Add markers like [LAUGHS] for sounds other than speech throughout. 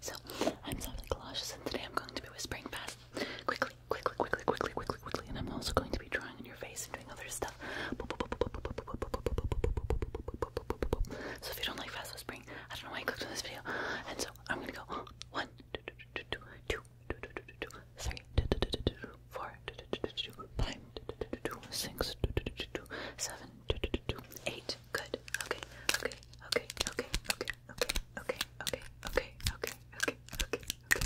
so, I'm Softly Colossus, and today I'm going to be whispering fast, quickly, quickly, quickly, quickly, quickly, quickly, and I'm also going to be drawing on your face and doing other stuff. So, if you don't like fast whispering, I don't know why you clicked on this video. And so, I'm gonna go one, two, three, four, five, six, seven, eight. Good. Okay. Okay. Okay. Okay. Okay okay, okay, okay, okay, okay, okay, okay,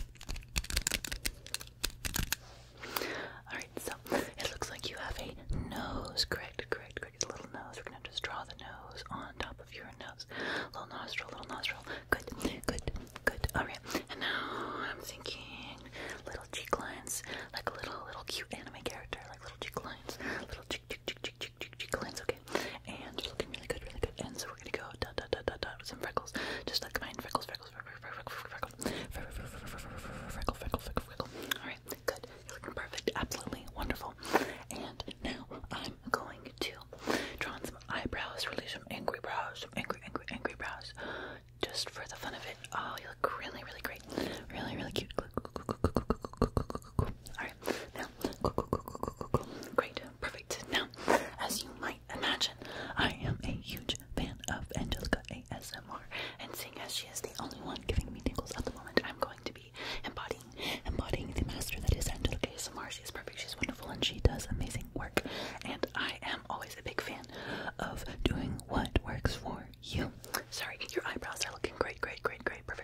okay. Alright, so it looks like you have a nose, correct, correct, correct. It's a little nose. We're gonna just draw the nose on top of your nose. Little nostril, little nostril. Good, good, good. Alright. And now I'm thinking little cheek lines, like a little little cute anime character, like little cheek lines, little cheek lens, okay? And it's looking really good, really good. And so we're gonna go dot dot dot dot dot with some freckles. Just like mine, freckles, freckles, freckles, freckles, freckles, freckle, freckle, freckle, freckle. Alright, good. You're looking perfect, absolutely wonderful. And now I'm going to draw on some eyebrows, really some angry brows, some angry, angry, angry brows. Just for the fun of it. Oh, you look really, really great. Really, really cute. Alright, now, cool, cool, cool, cool, cool, cool. Great, perfect. Now, as you might imagine, I am a huge fan of Angelica ASMR, and seeing as she is the only one giving me tingles at the moment, I'm going to be embodying, embodying the master that is Angelica ASMR. She's perfect, she's wonderful, and she does amazing work. And I am always a big fan of doing what works for you. Sorry, your eyebrows are looking great, great, great, great, perfect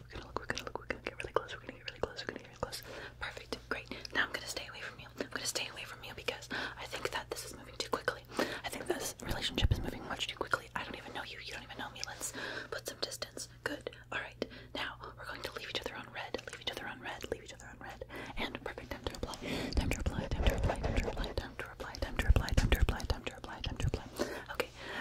look, we're gonna look, we're gonna look, we're gonna get really close, we're gonna get really close, we're gonna get really close. Perfect, great. Now I'm gonna stay away from you. I'm gonna stay away from you because I think that this is moving too quickly. I think this relationship is moving much too quickly. I don't even know you, you don't even know me. Let's put some distance. Good. Alright. Now we're going to leave each other on red, leave each other on red, leave each other on red. And perfect time to reply. Time to reply, time to reply, time to reply, time to reply, time to reply, time to reply, time to reply, time to reply. Okay.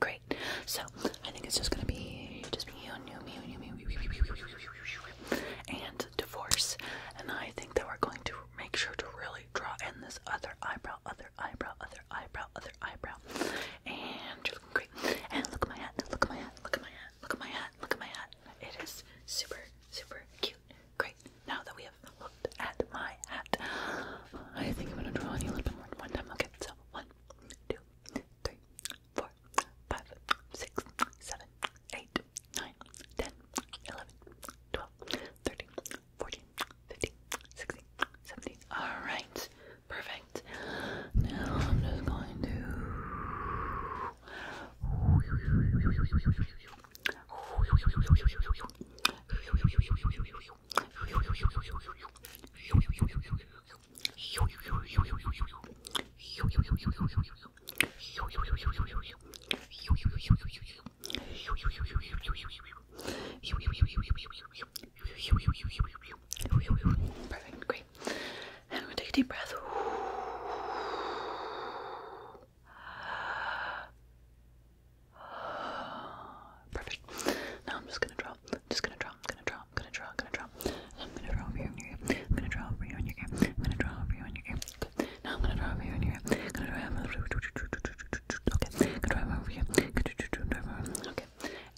Great. So I think it's just gonna be just be you and you, me, you, me, and divorce. And I think that we're going to make sure to really draw in this other eyebrow, other eyebrow, other eyebrow, other eyebrow. And you're looking great. And look at my hat. Look at my hat. Look at my hat. Look at my hat. Look at my hat. It is super, super cute. Great. Now that we have looked at my hat, I think I'm gonna draw on you a little bit more one time. Okay so one, two, three, four, five, six, seven, eight, nine, ten, eleven, twelve, thirteen, fourteen, fifteen, sixteen, seventeen. Alright, perfect. Now I'm just going to Perfect, great. And I'm gonna take a deep breath. [GASPS] Perfect. Now I'm just gonna draw. I'm just gonna draw. I'm gonna draw. I'm gonna draw. I'm gonna draw. I'm gonna draw over here on your ear. I'm gonna draw over here on your ear. I'm gonna draw over here on your ear. Good. Now I'm gonna draw over here on your ear. I'm gonna draw over here. Okay. I'm gonna draw over here. Okay.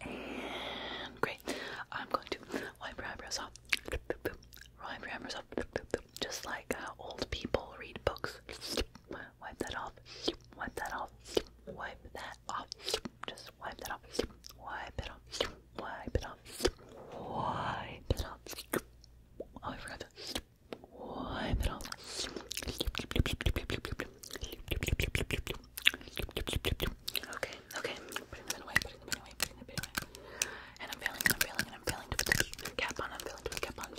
And great. I'm going to wipe your eyebrows off. Wipe your eyebrows off. Just like uh, old people read books. Wipe that off. Wipe that off wipe that off. Just wipe that off. Wipe it off. Wipe it off. Wipe it off. Oh, I forgot that. Wipe it off. Okay, okay. And I'm failing, I'm failing, I'm failing to put the cap on. I'm failing to put the cap on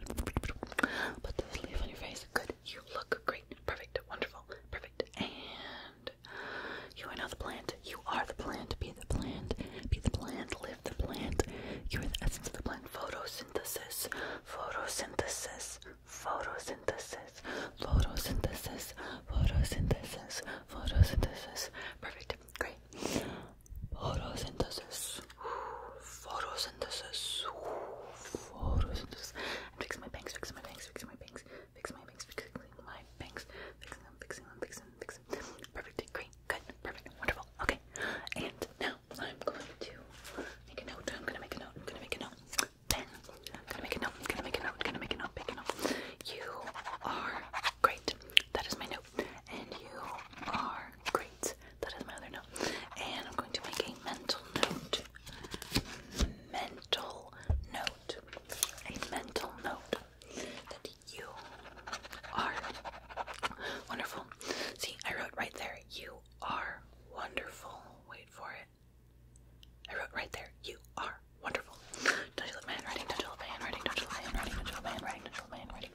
Put the sleeve on your face. Good. You look great. Perfect. Wonderful. Perfect. And you are now the plant. You are the plant. Be the plant. Be the plant. Live the plant. You are the essence of the plant. Photosynthesis. Photosynthesis. Photosynthesis. Photosynthesis. Photosynthesis. Photosynthesis. Photosynthesis. Perfect. Great photosynthesis, photosynthesis, photosynthesis, and fix my bangs, fix my bangs, fix my bangs, fix my bangs, fixing my bangs, fixing them, fixing them, fixing them, fixing them, perfect, great, good, perfect, wonderful, okay, and now I'm going to make a note, I'm gonna make a note, I'm gonna make a note, pen, I'm gonna make a note, I'm gonna make a note, I'm gonna make a note, make a note, you are great, that is my note and you are great. That is my other note. And I'm going to make a mental note. Mental note. A mental note that you are wonderful. See, I wrote right there, you are wonderful. Wait for it. I wrote right there, you are wonderful. Don't you love my handwriting? Don't you love my handwriting? Don't you love my handwriting? Don't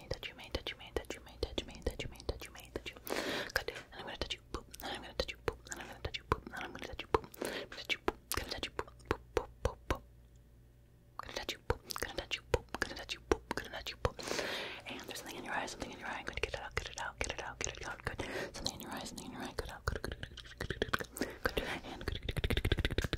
made, that you made, that you made, that you made, that you made, that you made, that you made, that you good. And I'm gonna touch you, boop. And I'm gonna touch you, boop. And I'm gonna touch you, boop. And I'm gonna touch you, boop. I'm gonna touch you, boop. Gonna touch you, boop, boop, boop, boop, boop. Gonna touch you, boop. Gonna touch you, boop. Gonna touch you, boop. Gonna touch you, boop. And there's something in your eye, something in your eye. Good. Get it out. Get it out. Get it out. Get it out. Good. Something in your eye, something in your eye. Good out. Good. Good. Good. Good. Good. Good. Good. And good. Good. Good. Good. Good. Good.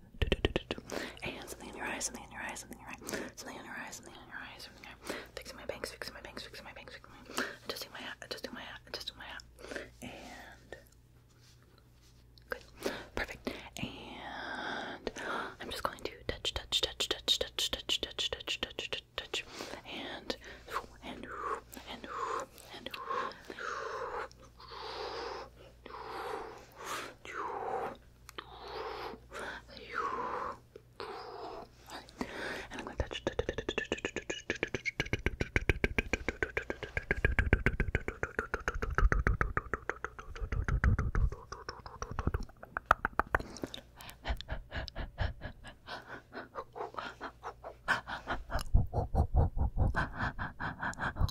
do, do, do, do, do. And something in your eyes, something in your eyes, something in your eyes, something in your eyes, something in your eyes, something in your eyes. Fixing my bangs, fixing my bangs, fixing my bangs, fixing my adjusting my hat, adjusting my hat, adjusting my hat. And good. Perfect. And I'm just going to touch, touch, touch, touch, touch, touch, touch, touch, touch, touch, touch. And and and and and and I'm going to touch.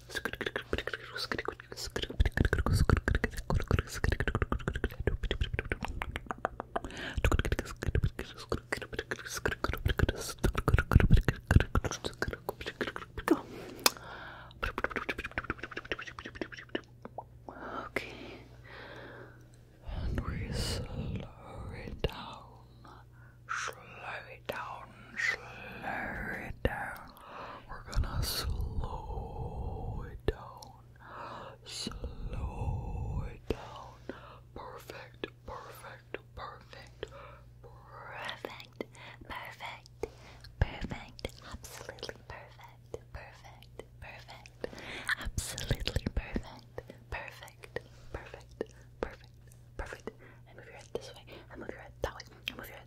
Okay. And we slow it down. Slow it down slow it down. We're gonna slow it down. Slow it down. Perfect, perfect, perfect, perfect, perfect, perfect, absolutely perfect, perfect, perfect, absolutely perfect, perfect, perfect, perfect, perfect. And move your head this way, and move your head that way, and move your head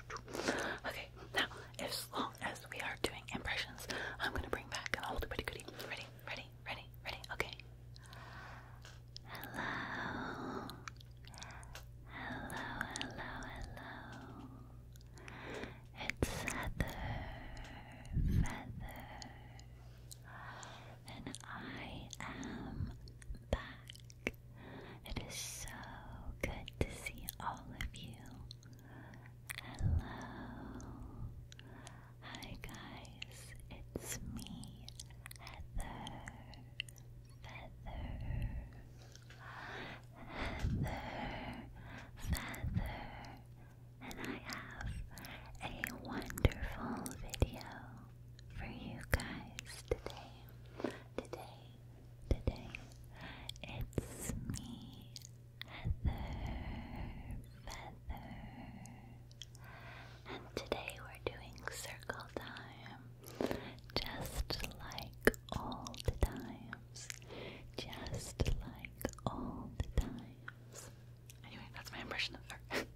Okay, now as long as we are doing impressions, I'm gonna bring back an old pretty goodie. Ready, ready, ready, ready, okay. Hello. Hello, hello, hello. It's Feather, Feather, and I am back. It is so good to see all of you. Hello. Hi, guys. It's me, Heather. Feather. Heather. Feather. And I have a wonderful video for you guys today. Today, today, it's me, Feather. And today we're doing circle time, just like all the times, just like all the times. Anyway, that's my impression of her. [LAUGHS]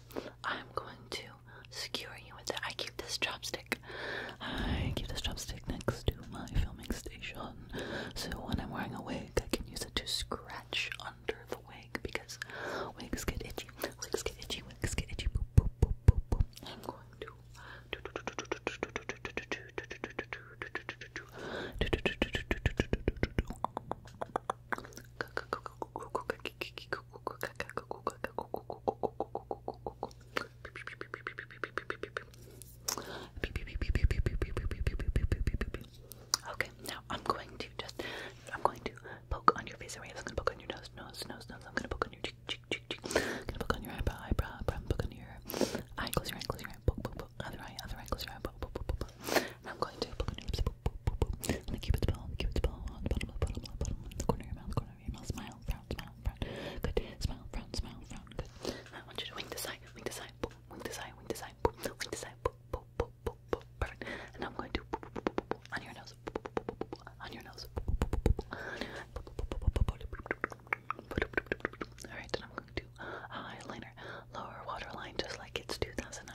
I'm going to skewer you with it. I keep this chopstick. I keep this chopstick next to my filming station. So when I'm wearing a wig, I can use it to scratch under the wig because wigs get itchy. Wigs get itchy. Wigs get itchy. I'm going to. Okay, now I'm going to just I'm going to poke on your face area. I'm gonna poke on your nose, nose, nose, nose. I'm gonna poke on your cheek, cheek, cheek, cheek. I'm gonna poke on your eyebrow, eyebrow, eyebrow, poke on your eye, close your eye, close your eye, poke, poke, poke, other eye, other eye, close your eye, poke, poke, poke, poke. And I'm going to poke on your lips, poke, and the cupid's bow, the cupid's bow, on the bottom, the bottom, the the corner of your mouth, corner of your mouth, smile, frown, smile, frown, good, smile, frown, smile, frown, good. I want you to wink this eye, wink this eye, wink this eye, wink this eye, wink this eye, perfect. And I'm going to boop, boop, boop, boop, boop, on your nose, on your nose, Alright, and I'm going to eyeliner, lower waterline, just like it's 2009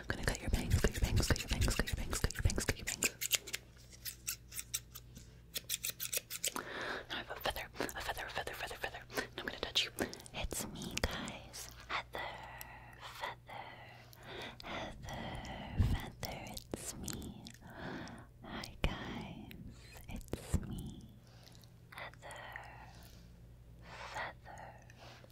I'm gonna cut your bangs, cut your bangs, cut your bangs, cut your bangs, cut your bangs, cut your bangs. Now I have a feather, a feather, a feather, feather, feather. And I'm gonna touch you. It's me, guys. Heather, feather, heather, feather. It's me. Hi, guys. It's me. Heather, feather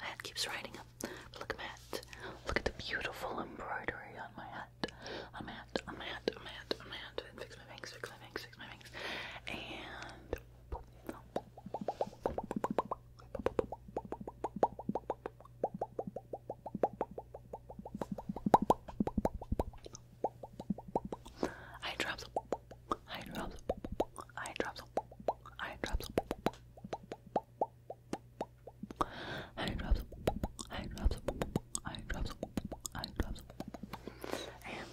My hat keeps riding up. But look at my hat. Look at the beautiful embroidery on my hat. On my hat, on my hat, on my hat, on my hat. And fix my bangs, fix my bangs, fix my bangs. And. Eye drops, eye drops, eye drops, eye drops, eye drops, eye drops, eye drops, eye drops, and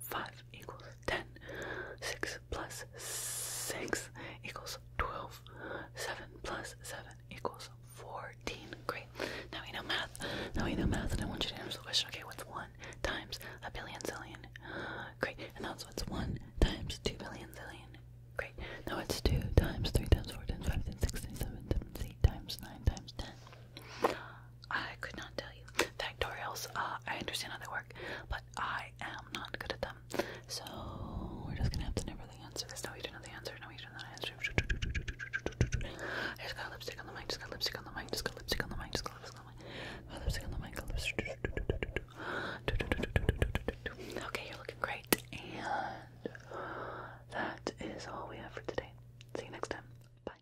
5 equals 10. 6 plus 6 equals 12. 7 plus 7 equals 14. Great. Now we know math. Now we know math, and I want you to answer the question. Okay, what's 1 times a billion zillion? Great. And that's what's 1 times 2 billion zillion. Great. Now it's 2 times 3 times 4 times 5 times 6 times 7 times 8 times 9 times 10. I could not tell you. Factorials, uh, I understand how they work, but I am not good at them. So we're just gonna have to never the answer. There's no you to know the answer, no you to know the answer. I just got lipstick on the mic, just got lipstick on the mic, just got lipstick on the mic, just got lipstick on the mic. Got lipstick on the mic, got lipstick. Okay, you're looking great. And that is all we have for today. See you next time. Bye.